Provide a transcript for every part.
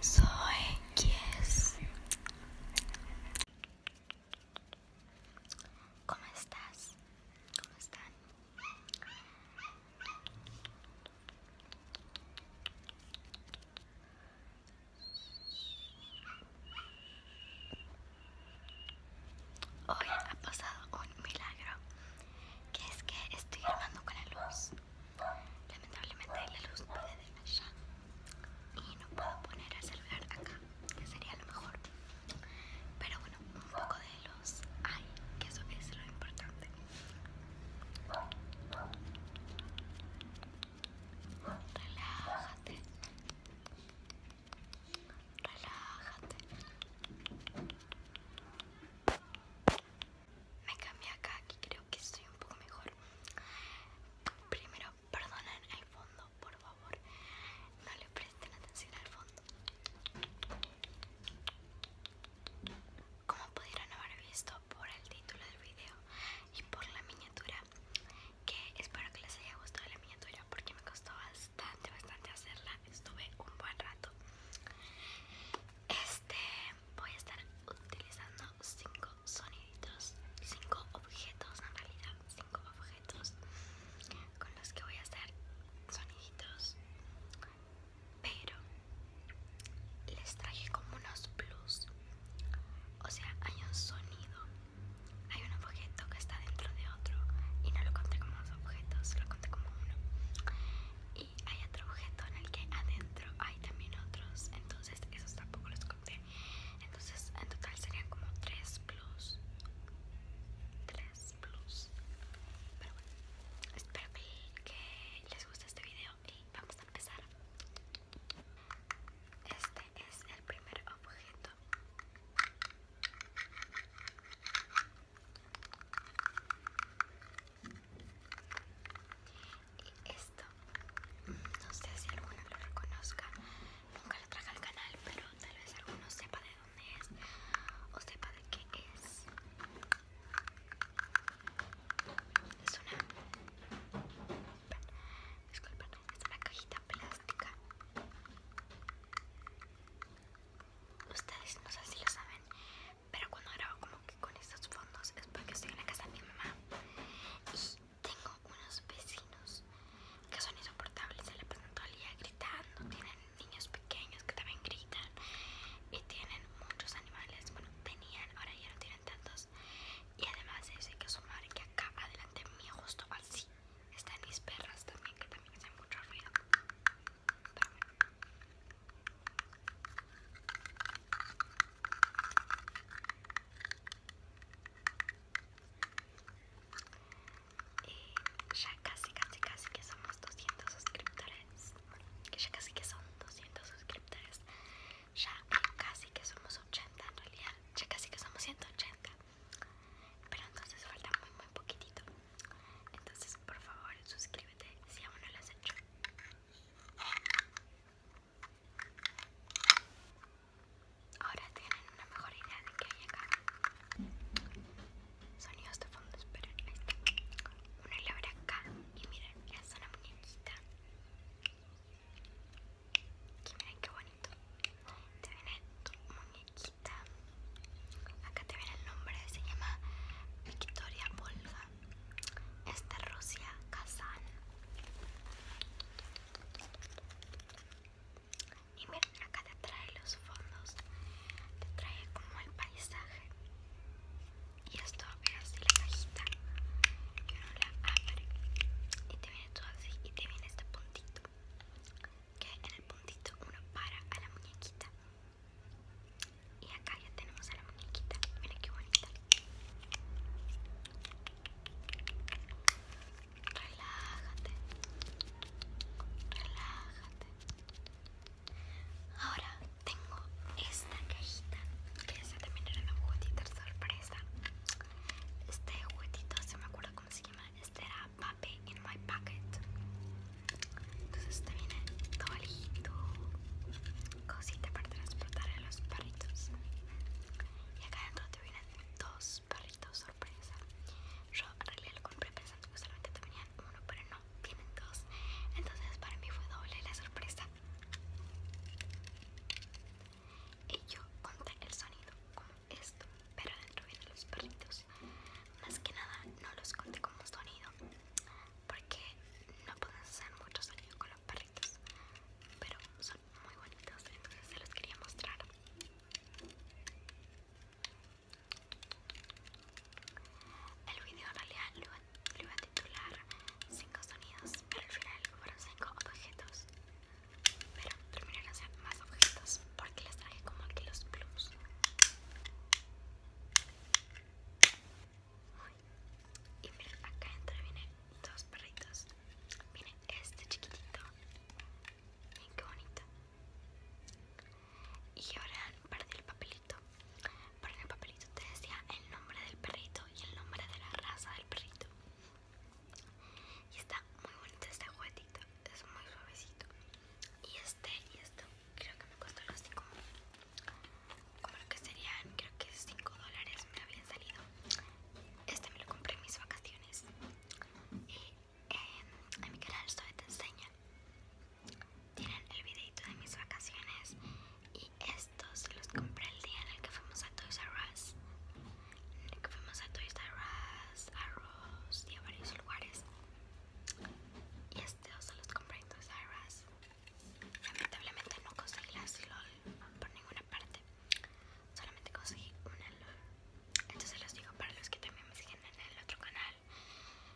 Soy Kies. ¿Cómo estás? ¿Cómo están? Hoy ha pasado un milagro, que es que estoy armando con la luz. Lamentablemente la luz puede de allá y no puedo poner el celular acá, que sería lo mejor. Pero bueno, un poco de luz hay, que eso es lo importante. Relájate. Relájate me cambié acá y creo que estoy un poco mejor. Primero, perdonen el fondo, por favor. No le presten atención al fondo. Como pudieron haber visto por el título del video y por la miniatura, que espero que les haya gustado la miniatura porque me costó bastante, bastante hacerla. Estuve un buen rato. Este voy a estar utilizando cinco soniditos, cinco objetos en realidad, cinco objetos con los que voy a hacer soniditos. Pero les traje como unos plus. O sea, hay un sonido, hay un objeto que está dentro de otro y no lo conté como dos objetos, solo conté como uno y hay otro objeto en el que adentro hay también otros entonces esos tampoco los conté entonces en total serían como 3 plus 3 plus pero bueno espero que les guste este video y vamos a empezar este es el primer objeto y esto, no sé si alguno lo reconozca, nunca lo traje al canal, pero tal vez alguno sepa de dónde es o sepa de qué es. Es una... Disculpen, es una cajita plástica ustedes no sé si lo saben, pero cuando grabo como que con estos fondos es porque estoy en la casa de mi mamá y tengo unos vecinos que son insoportables, se la pasan todo el día gritando, tienen niños pequeños que también gritan y tienen muchos animales, bueno tenían, ahora ya no tienen tantos y además hay que sumar que acá adelante mío justo así están mis perras también que también hacen mucho ruido eh, ya casi, casi, casi que somos 200 suscriptores. Que ya casi que son 200 suscriptores. Ya casi que somos 80 en realidad. Ya casi que somos 180. Pero entonces falta muy, muy poquitito. Entonces, por favor, suscríbete si aún no lo has hecho. Ahora tienen una mejor idea de qué hay acá. Sonidos de fondo, esperen. Ahí Una labra acá. Y miren, es una muñequita. Y miren qué bonito. Te viene tu muñequita. Acá te viene el nombre, se llama Victoria Volga. Esta Rusia Kazan. Y miren, acá te trae los fondos, te trae como el paisaje. Y esto es así la cajita. Que uno la abre. Y te viene todo así. Y te viene este puntito que en el puntito uno para a la muñequita y acá ya tenemos a la muñequita mira qué bonita relájate relájate ahora tengo esta cajita que esa también era una juguetita sorpresa este juguetito se me acuerda cómo se llama este era papi in my pocket. Entonces te viene toalito, cosita para transportar a los perritos. Y acá dentro te vienen dos perritos sorpresa. Yo en realidad lo compré pensando que solamente te venían uno, pero no, vienen dos. Entonces para mí fue doble la sorpresa. Y yo conté el sonido esto, pero adentro vienen los perritos. Más que nada no los conté como sonido, porque no pueden hacer mucho sonido con los perritos, pero son muy bonitos, entonces se los quería mostrar. El video en realidad lo, lo iba a titular 5 sonidos, pero al final fueron 5 objetos. Pero terminaron más objetos porque les traje como aquí los blues Y miren, acá entre vienen dos perritos. Miren, este chiquitito. Miren qué bonito. Y ahora perdí el papelito. perdí el papelito te decía el nombre del perrito y el nombre de la raza del perrito y está muy bonito este juguetito es muy suavecito y este y esto creo que me costó los como como lo que serían creo que 5 dólares me habían salido este me lo compré en mis vacaciones y en em, mi canal esto te enseña tienen el videito de mis vacaciones y estos los compré el día en el que fuimos a Toys R Us que fuimos a Toys R Us, a y a varios lugares. Y estos los compré en Toys R Us. Lamentablemente no conseguí las LOL por ninguna parte. Solamente conseguí una LOL. Entonces los digo para los que también me siguen en el otro canal.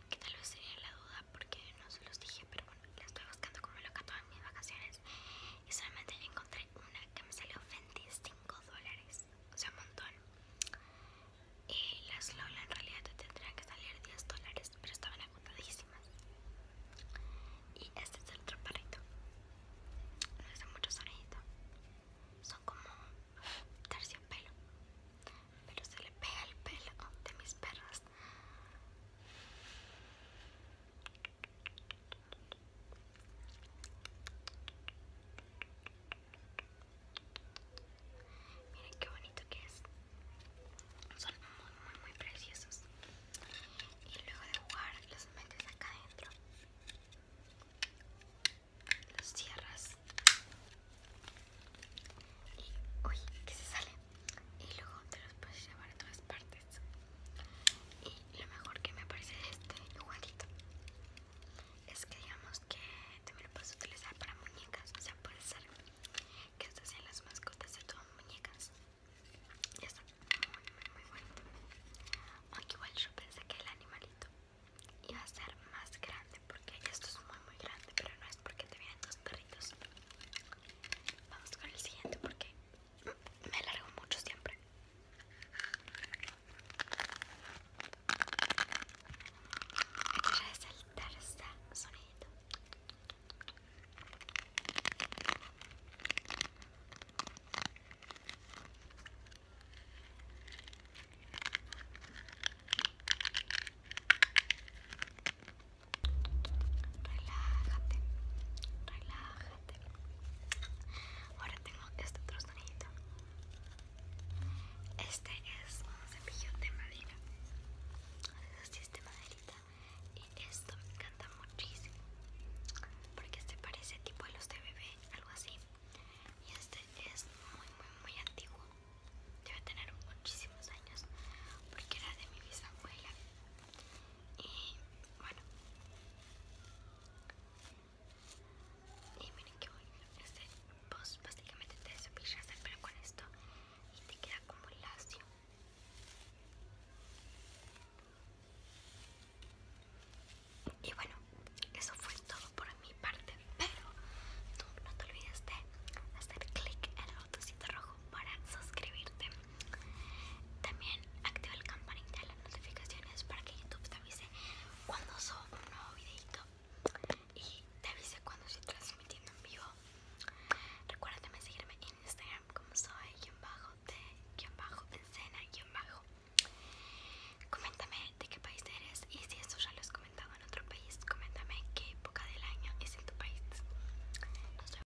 Que tal vez sería la duda porque no se los dije, pero bueno, las estoy buscando como loca todas mis vacaciones. Y solamente encontré una que me salió Fenty 5 dólares, o sea, un montón. y eh, las Lola en realidad te tendrían que salir 10 dólares, pero estaban agotadísimas. Y este es el otro no Hace mucho sonido. Son como pelo pero se le pega el pelo de mis perros. Miren qué bonito que es. Son muy, muy, muy preciosos. Y luego de jugar los metes acá adentro. Los cierras. Y, uy, que se sale. Y luego te los puedes llevar a todas partes. Y lo mejor que me parece de este juguetito es que digamos que también lo puedes utilizar para muñecas. O sea, puede ser que estas sean las mascotas de todas muñecas. Y está muy, muy, muy bonito. Aunque igual yo pensé que el animalito iba a ser más grande porque esto es muy, muy grande, pero no es porque te vienen dos perritos. Vamos con el siguiente porque me alargo mucho siempre. Quiero resaltar este sonido. Relájate, relájate. Ahora tengo este otro Este es un cepillo de madera. Así es de maderita. Y esto me encanta muchísimo. Porque este parece tipo de los de bebé, algo así. Y este es muy, muy, muy antiguo. Debe tener muchísimos años. Porque era de mi bisabuela. Y bueno, y miren que bueno, este, vos básicamente te desopillas Pero con esto y te queda como lacio. Y bueno, eso fue todo por mi parte, pero tú no te olvides de hacer clic en el botoncito rojo para suscribirte también activa el campanita de las notificaciones para que YouTube te avise cuando subo un nuevo videito y te avise cuando estoy transmitiendo en vivo. Recuerda también seguirme en Instagram como soy bajo de bajo escena bajo. Coméntame de qué país eres y si eso ya lo has comentado en otro país, coméntame qué época del año es en tu país. Nos vemos.